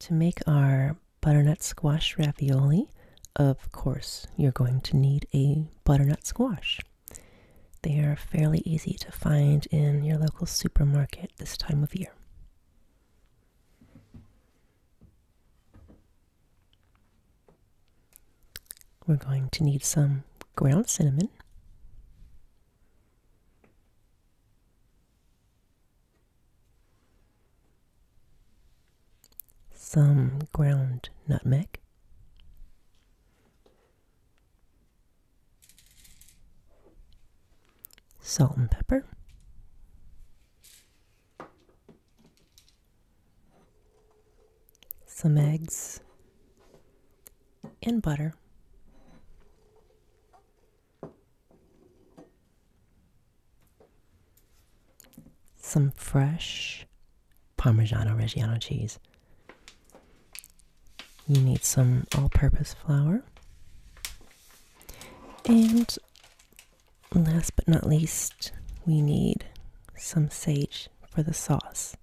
To make our butternut squash ravioli, of course, you're going to need a butternut squash. They are fairly easy to find in your local supermarket this time of year. We're going to need some ground cinnamon, some ground nutmeg, salt and pepper, some eggs and butter. Some fresh Parmigiano Reggiano cheese. You need some all purpose flour. And last but not least, we need some sage for the sauce.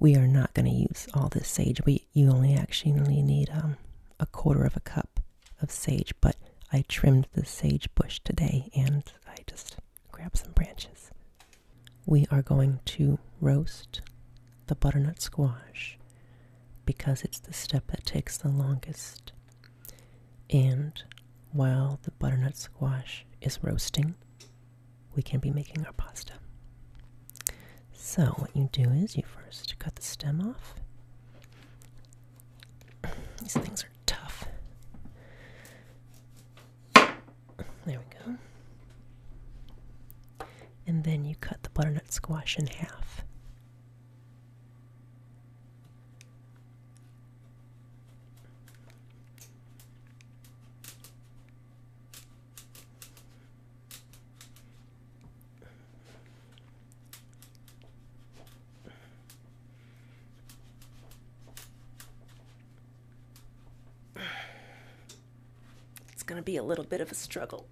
We are not going to use all this sage. We you only actually need um, a quarter of a cup of sage. But I trimmed the sage bush today and I just grabbed some branches. We are going to roast the butternut squash because it's the step that takes the longest. And while the butternut squash is roasting, we can be making our pasta. So, what you do is you first cut the stem off. These things are tough. There we go. And then you cut the butternut squash in half. It's going to be a little bit of a struggle.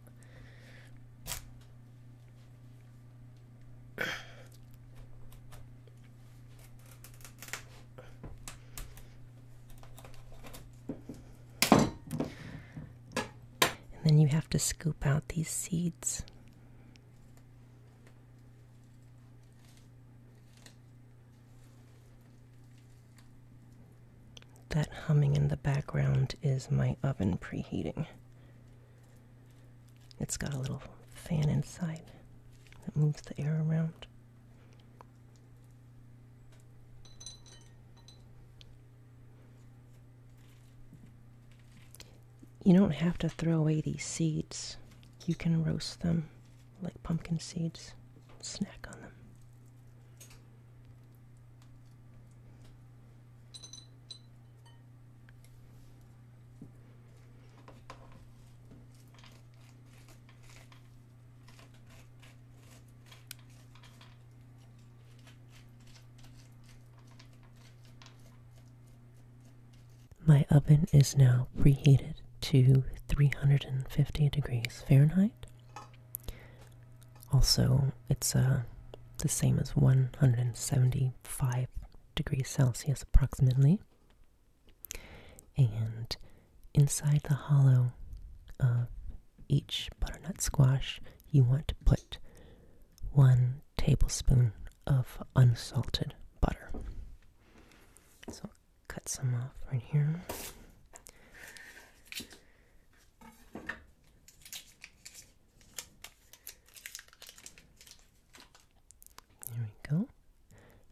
And then you have to scoop out these seeds. That humming in the background is my oven preheating. It's got a little fan inside that moves the air around. You don't have to throw away these seeds. You can roast them like pumpkin seeds, snack on them. My oven is now preheated to 350 degrees Fahrenheit. Also, it's uh, the same as 175 degrees Celsius approximately. And inside the hollow each butternut squash, you want to put one tablespoon of unsalted butter. So cut some off right here. There we go.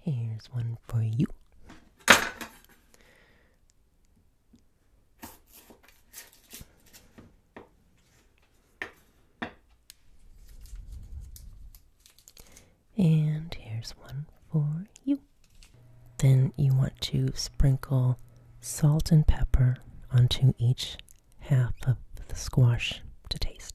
Here's one for you. And here's one for you. Then you want to sprinkle salt and pepper onto each half of the squash to taste.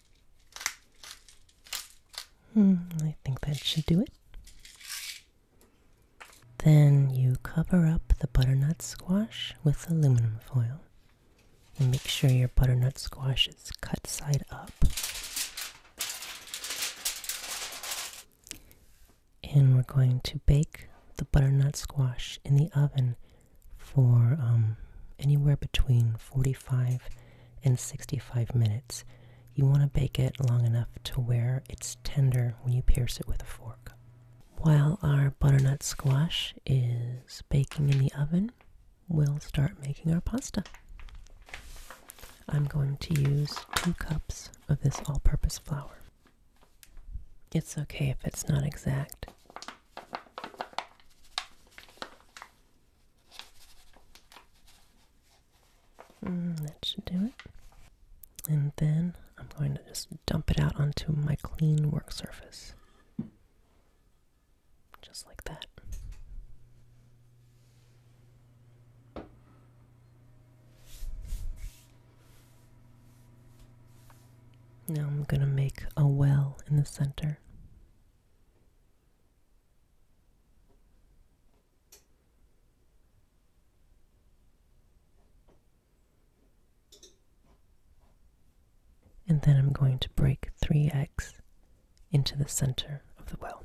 Hmm, I think that should do it. Then you cover up the butternut squash with aluminum foil. And make sure your butternut squash is cut side up. And we're going to bake the butternut squash in the oven for um, anywhere between 45 in 65 minutes. You want to bake it long enough to where it's tender when you pierce it with a fork. While our butternut squash is baking in the oven, we'll start making our pasta. I'm going to use two cups of this all-purpose flour. It's okay if it's not exact. Mm, that should do it. And then I'm going to just dump it out onto my clean work surface. Just like that. Now I'm going to make a well in the center. And then I'm going to break 3 eggs into the center of the well.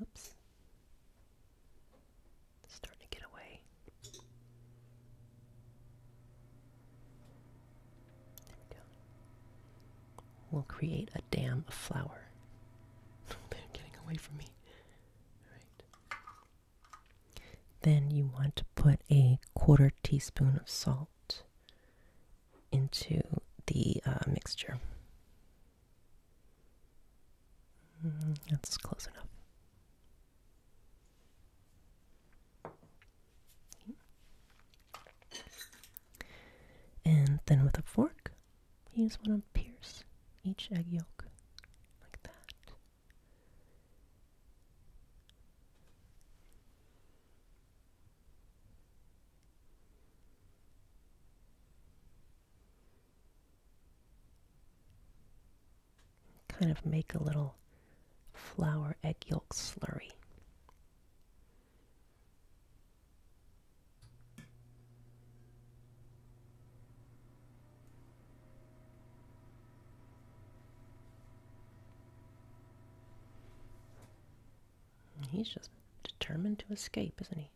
Oops. starting to get away. There we go. We'll create a dam of flour. getting away from me. Alright. Then you want to put a quarter teaspoon of salt into the uh, mixture. Mm, that's close enough. And then with a fork, you just want to pierce each egg yolk like that. Kind of make a little flour egg yolk slurry. He's just determined to escape, isn't he?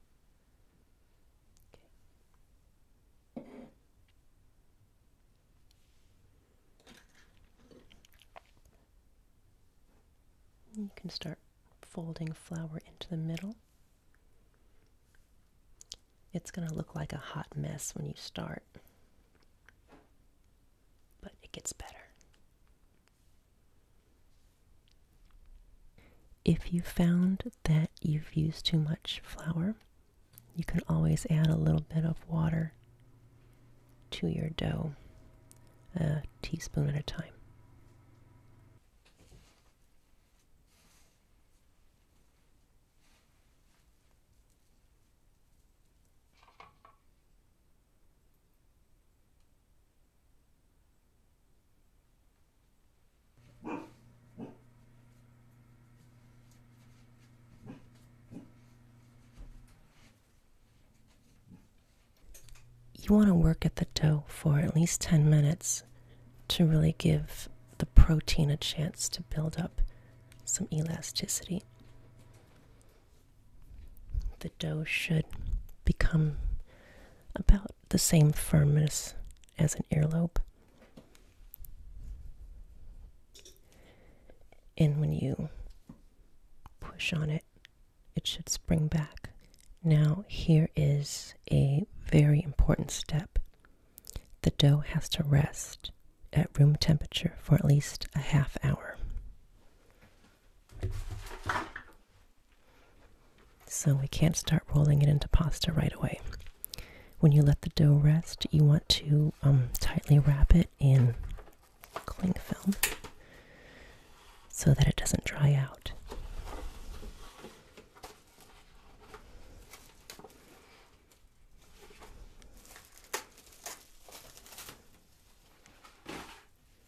You can start folding flour into the middle. It's going to look like a hot mess when you start, but it gets better. If you found that you've used too much flour, you can always add a little bit of water to your dough, a teaspoon at a time. You want to work at the dough for at least 10 minutes to really give the protein a chance to build up some elasticity. The dough should become about the same firmness as an earlobe. And when you push on it, it should spring back. Now, here is a very important step the dough has to rest at room temperature for at least a half hour. So we can't start rolling it into pasta right away. When you let the dough rest, you want to um, tightly wrap it in cling film so that it doesn't dry out.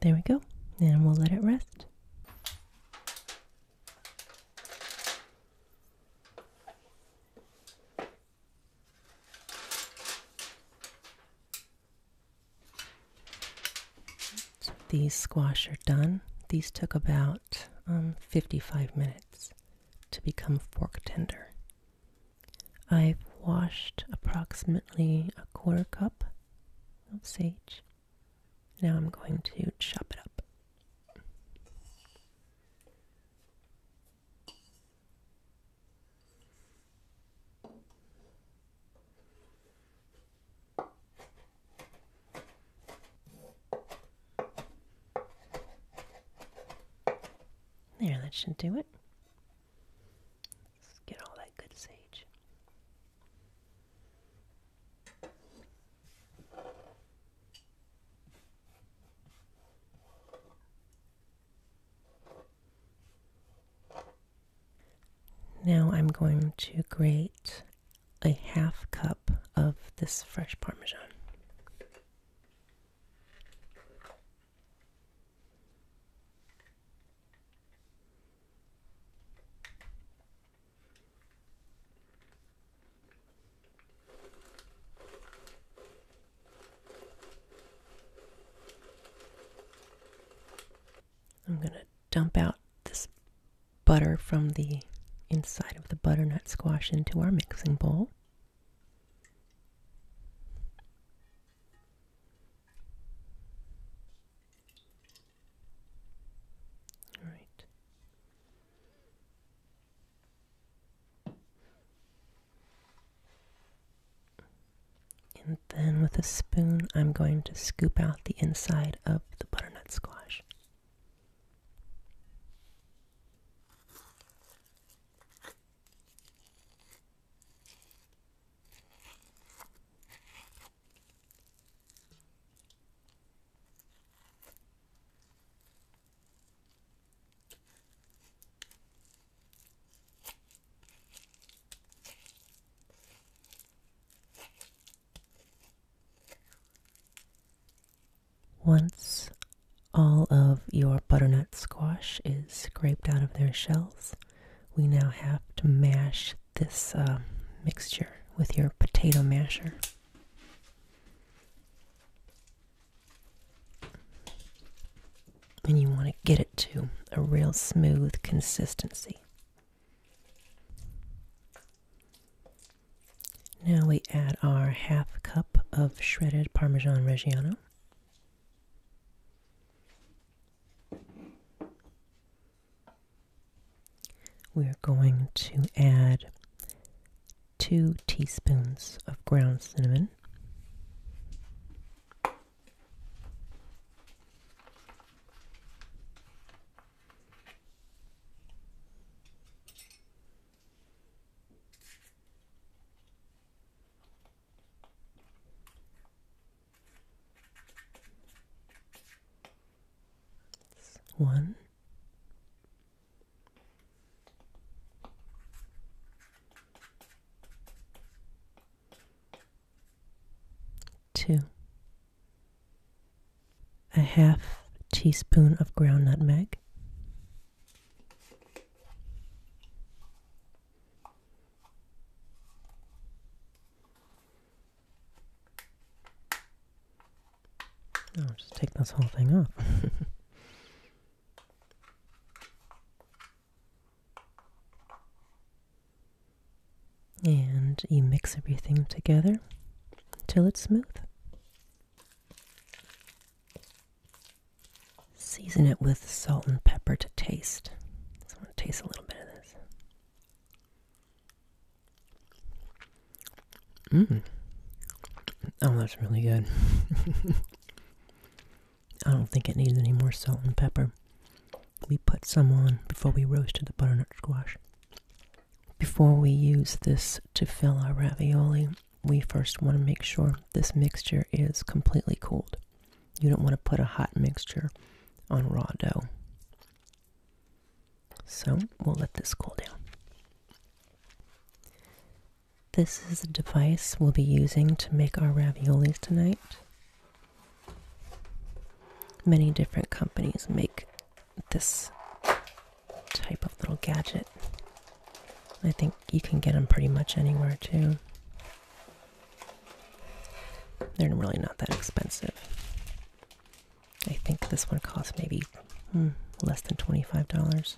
There we go. And we'll let it rest. these squash are done. These took about um, 55 minutes to become fork tender. I've washed approximately a quarter cup of sage. Now I'm going to chop it up. There, that should do it. Let's get all that good sage. Now I'm going to grate a half cup of this fresh Parmesan. I'm going to dump out this butter from the inside of the butternut squash into our mixing bowl. All right. And then with a spoon, I'm going to scoop out the inside of the butternut squash. Once all of your butternut squash is scraped out of their shells, we now have to mash this uh, mixture with your potato masher. And you want to get it to a real smooth consistency. Now we add our half cup of shredded Parmesan Reggiano. We're going to add two teaspoons of ground cinnamon one. Two. A half teaspoon of ground nutmeg. I'll just take this whole thing off. and you mix everything together until it's smooth. Season it with salt and pepper to taste. I want to taste a little bit of this. Mmm. Oh, that's really good. I don't think it needs any more salt and pepper. We put some on before we roasted the butternut squash. Before we use this to fill our ravioli, we first want to make sure this mixture is completely cooled. You don't want to put a hot mixture on raw dough. So we'll let this cool down. This is a device we'll be using to make our raviolis tonight. Many different companies make this type of little gadget. I think you can get them pretty much anywhere too. They're really not that expensive. I think this one costs maybe hmm, less than $25.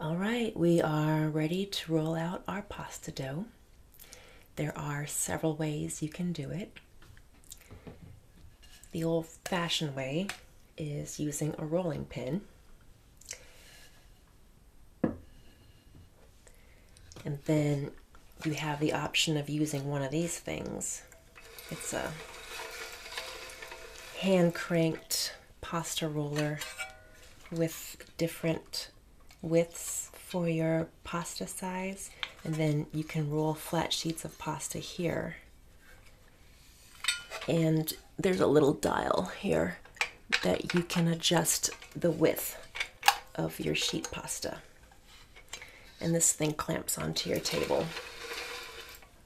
All right, we are ready to roll out our pasta dough. There are several ways you can do it. The old fashioned way is using a rolling pin. And then you have the option of using one of these things. It's a hand cranked pasta roller with different widths for your pasta size, and then you can roll flat sheets of pasta here. And there's a little dial here that you can adjust the width of your sheet pasta. And this thing clamps onto your table.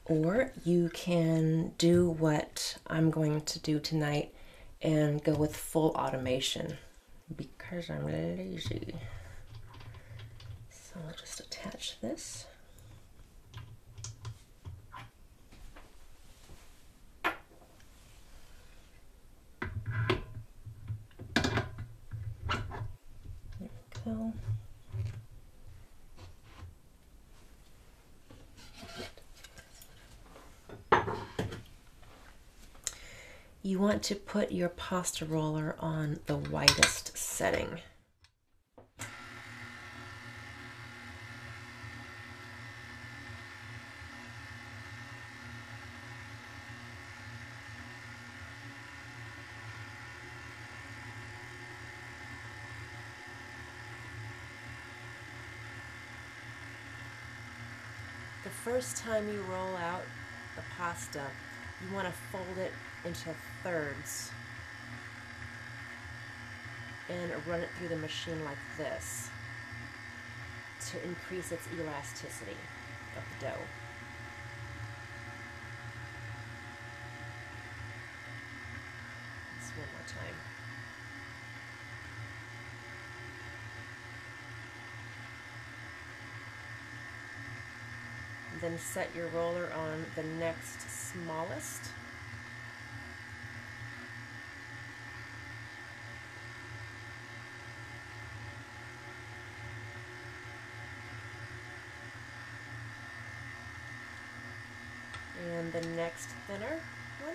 Or you can do what I'm going to do tonight and go with full automation because I'm lazy. So I'll just attach this. There we go. You want to put your pasta roller on the widest setting. The first time you roll out the pasta, you want to fold it into thirds and run it through the machine like this to increase its elasticity of the dough. Just one more time. And then set your roller on the next smallest and the next thinner one.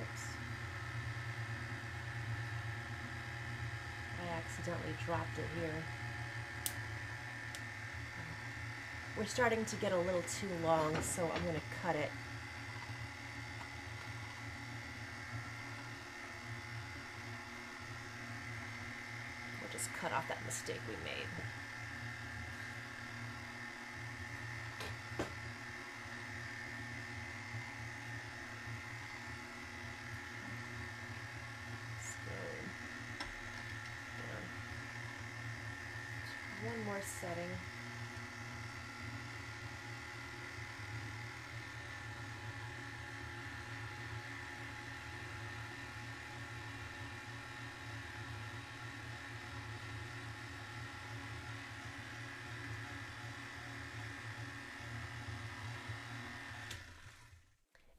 Oops. I accidentally dropped it here. We're starting to get a little too long, so I'm going to cut it. We'll just cut off that mistake we made one more setting.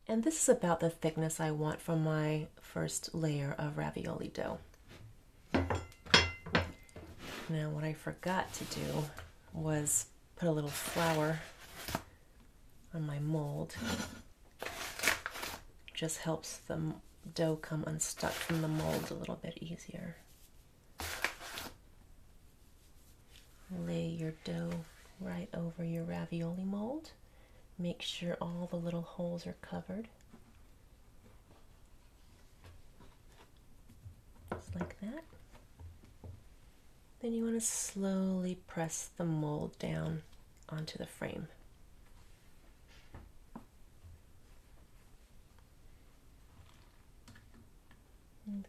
And this is about the thickness I want from my first layer of ravioli dough. Now what I forgot to do was put a little flour on my mold. Just helps them dough come unstuck from the mold a little bit easier. Lay your dough right over your ravioli mold. Make sure all the little holes are covered. Just like that. Then you want to slowly press the mold down onto the frame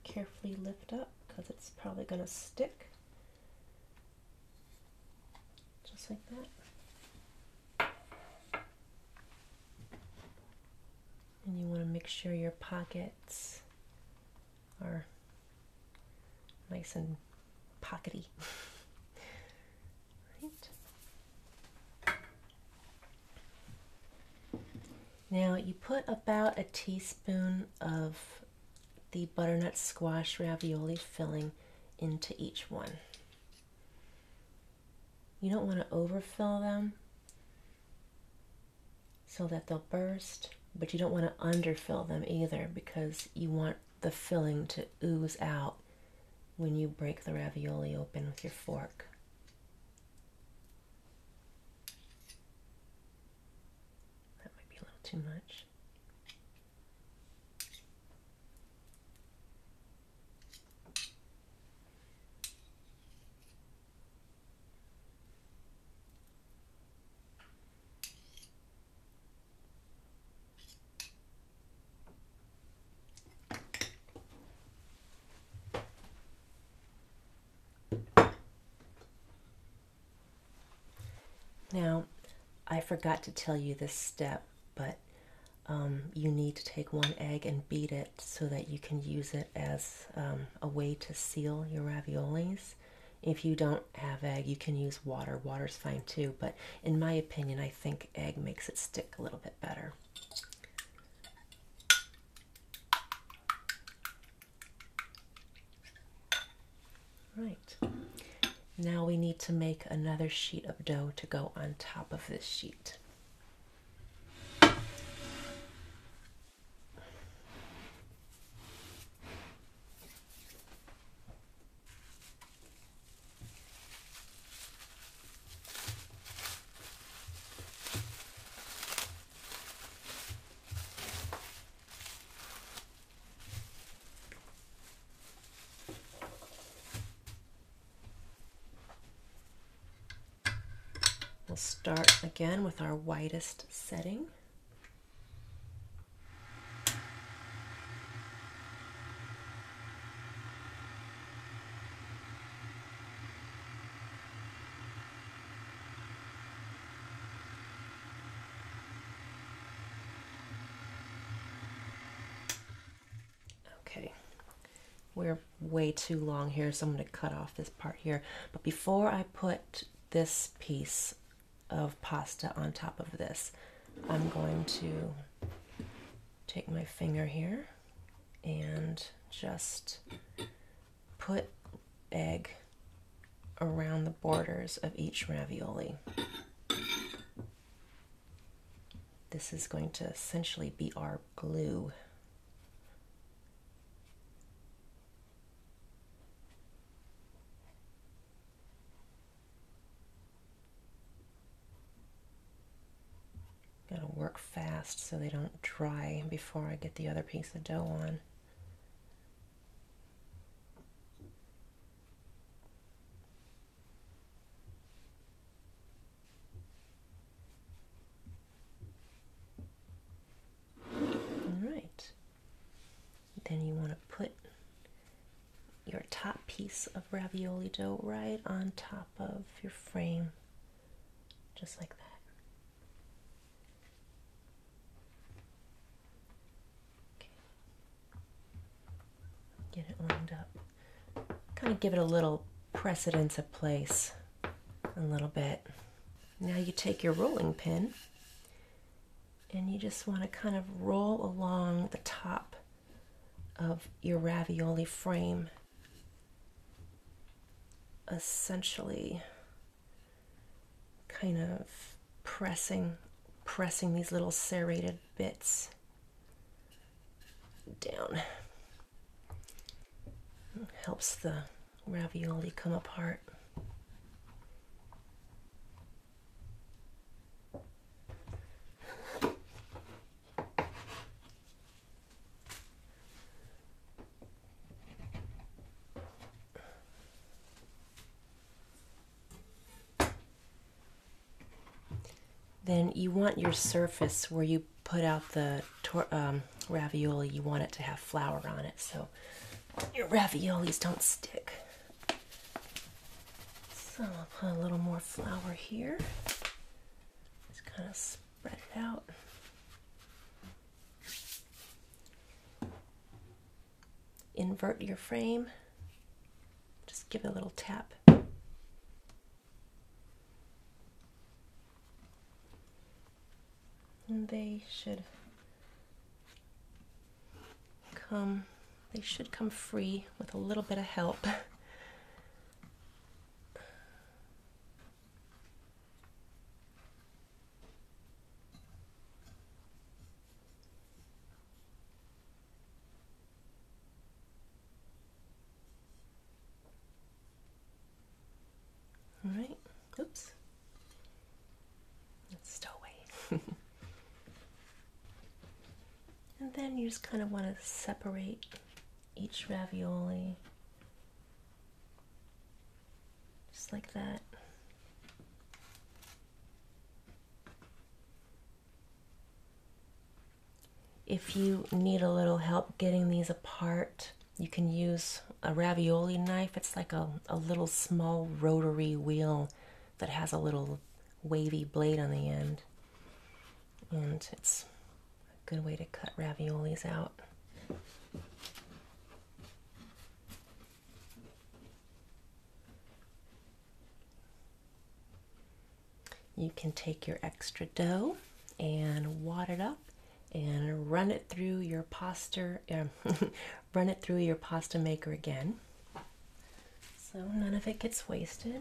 carefully lift up because it's probably going to stick. Just like that. And you want to make sure your pockets are nice and pockety. Now you put about a teaspoon of the butternut squash ravioli filling into each one. You don't want to overfill them so that they'll burst, but you don't want to underfill them either because you want the filling to ooze out when you break the ravioli open with your fork. That might be a little too much. Now, I forgot to tell you this step, but um, you need to take one egg and beat it so that you can use it as um, a way to seal your raviolis. If you don't have egg, you can use water. Water's fine too, but in my opinion, I think egg makes it stick a little bit better. Right. Now we need to make another sheet of dough to go on top of this sheet. We'll start again with our widest setting. Okay, we're way too long here, so I'm going to cut off this part here. But before I put this piece of pasta on top of this, I'm going to take my finger here and just put egg around the borders of each ravioli. This is going to essentially be our glue. Gotta work fast so they don't dry before I get the other piece of dough on. All right. Then you want to put your top piece of ravioli dough right on top of your frame, just like that. Okay. Get it lined up. Kind of give it a little precedence of place, a little bit. Now you take your rolling pin and you just want to kind of roll along the top of your ravioli frame essentially kind of pressing pressing these little serrated bits down helps the ravioli come apart then you want your surface where you put out the um, ravioli, you want it to have flour on it so your raviolis don't stick. So I'll put a little more flour here. Just kind of spread it out. Invert your frame. Just give it a little tap. And they should come they should come free with a little bit of help. All right. Oops. It's stowaway. And then you just kind of want to separate each ravioli just like that. If you need a little help getting these apart, you can use a ravioli knife. It's like a, a little small rotary wheel that has a little wavy blade on the end and it's a good way to cut raviolis out. You can take your extra dough and wad it up and run it through your pasta uh, run it through your pasta maker again so none of it gets wasted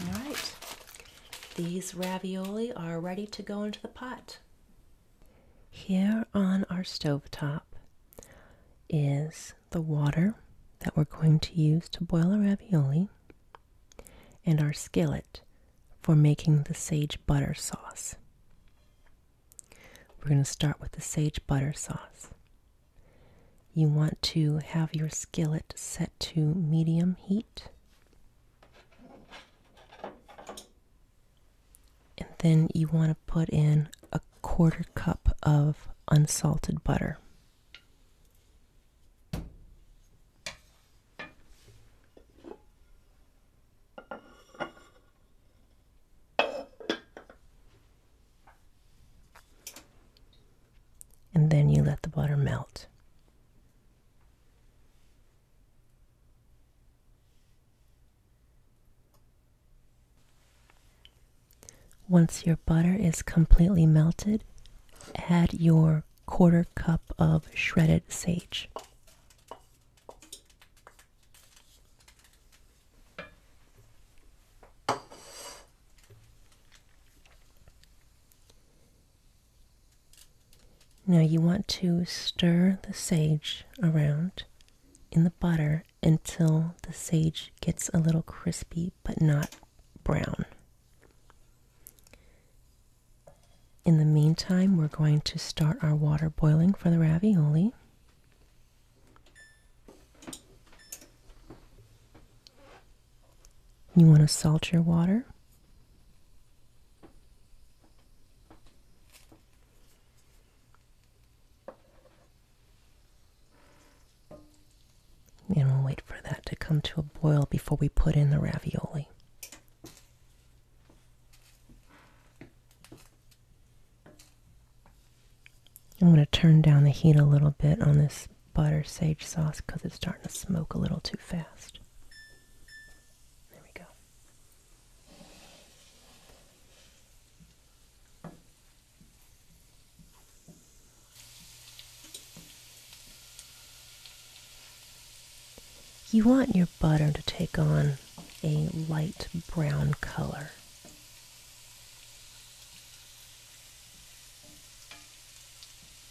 All right, these ravioli are ready to go into the pot. Here on our stove top is the water that we're going to use to boil our ravioli and our skillet for making the sage butter sauce. We're going to start with the sage butter sauce. You want to have your skillet set to medium heat and then you want to put in a quarter cup of unsalted butter. And then you let the butter melt. Once your butter is completely melted, add your quarter cup of shredded sage. Now you want to stir the sage around in the butter until the sage gets a little crispy but not brown. In the meantime, we're going to start our water boiling for the ravioli. You want to salt your water? And we'll wait for that to come to a boil before we put in the ravioli. I'm going to turn down the heat a little bit on this butter sage sauce because it's starting to smoke a little too fast. There we go. You want your butter to take on a light brown color.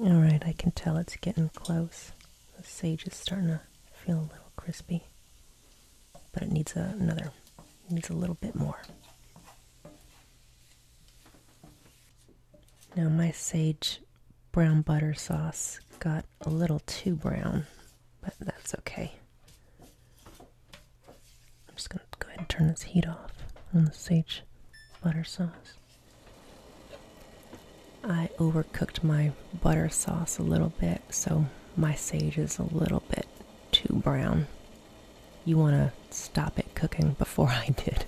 All right, I can tell it's getting close. The sage is starting to feel a little crispy, but it needs another, needs a little bit more. Now my sage brown butter sauce got a little too brown, but that's okay. I'm just gonna go ahead and turn this heat off on the sage butter sauce. I overcooked my butter sauce a little bit, so my sage is a little bit too brown. You want to stop it cooking before I did.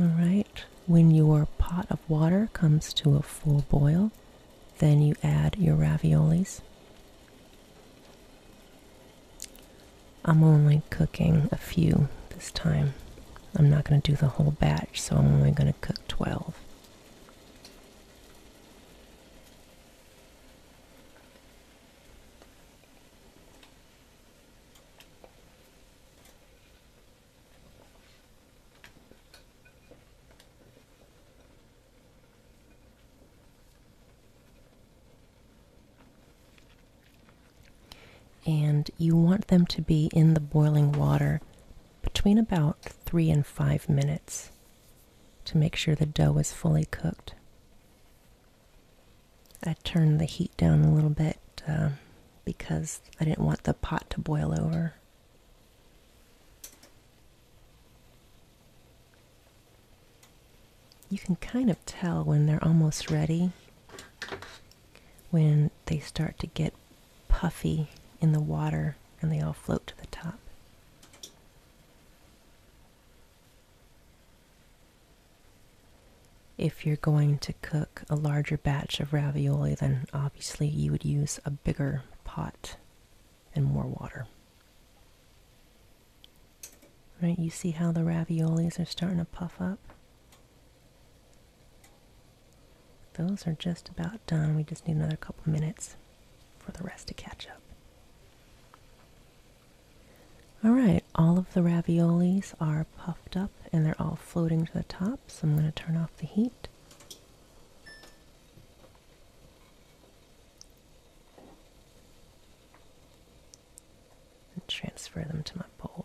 Alright, when your pot of water comes to a full boil, then you add your raviolis. I'm only cooking a few this time. I'm not going to do the whole batch, so I'm only going to cook 12. And you want them to be in the boiling water between about three and five minutes to make sure the dough is fully cooked. I turned the heat down a little bit uh, because I didn't want the pot to boil over. You can kind of tell when they're almost ready, when they start to get puffy in the water and they all float to the top. If you're going to cook a larger batch of ravioli, then obviously you would use a bigger pot and more water. Right, you see how the raviolis are starting to puff up? Those are just about done. We just need another couple minutes for the rest to catch up. All right, all of the raviolis are puffed up and they're all floating to the top, so I'm going to turn off the heat and transfer them to my bowl.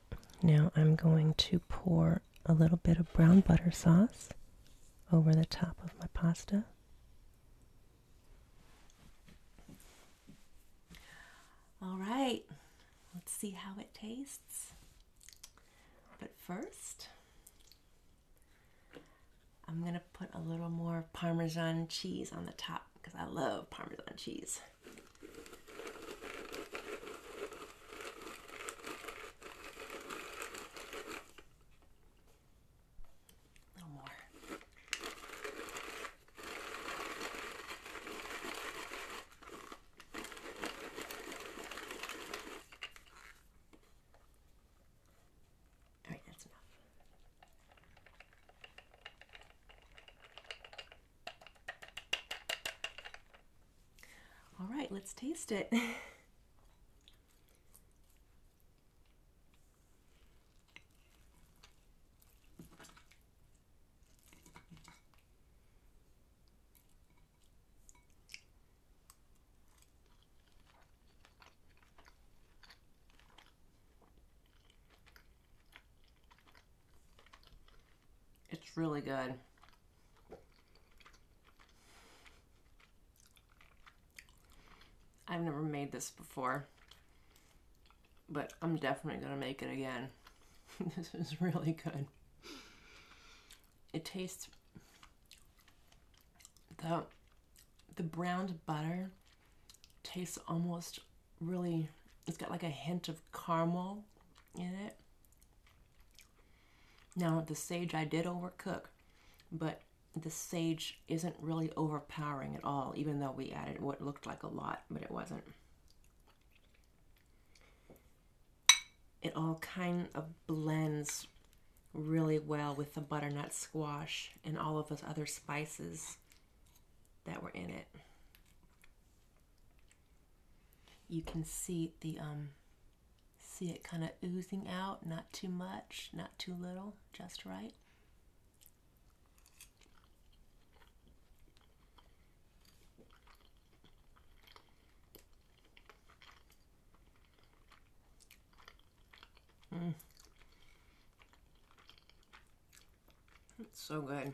Now I'm going to pour a little bit of brown butter sauce over the top of my pasta. All right, let's see how it tastes. But first, I'm gonna put a little more Parmesan cheese on the top because I love Parmesan cheese. A little more. All right, that's enough. All right, let's taste it. It's really good. I've never made this before, but I'm definitely going to make it again. this is really good. It tastes the the browned butter tastes almost really it's got like a hint of caramel in it. Now, the sage I did overcook, but the sage isn't really overpowering at all, even though we added what looked like a lot, but it wasn't. It all kind of blends really well with the butternut squash and all of those other spices that were in it. You can see the um see it kind of oozing out, not too much, not too little, just right. It's mm. so good.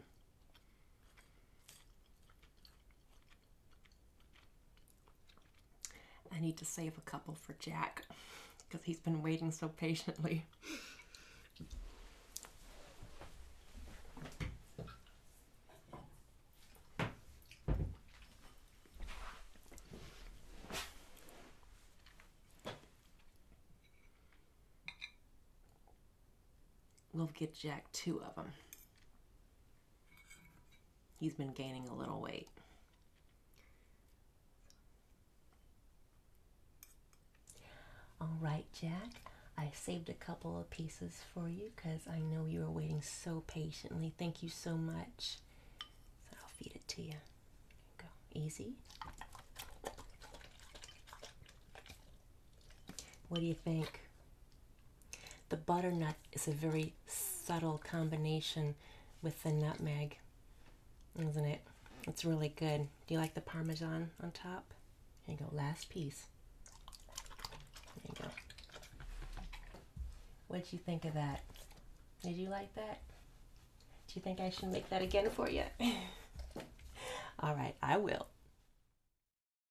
I need to save a couple for Jack because he's been waiting so patiently. We'll get Jack two of them. He's been gaining a little weight. All right, Jack. I saved a couple of pieces for you because I know you were waiting so patiently. Thank you so much. I'll feed it to you. you go. Easy. What do you think? The butternut is a very subtle combination with the nutmeg, isn't it? It's really good. Do you like the parmesan on top? Here you go, last piece. There you go. What'd you think of that? Did you like that? Do you think I should make that again for you? All right, I will.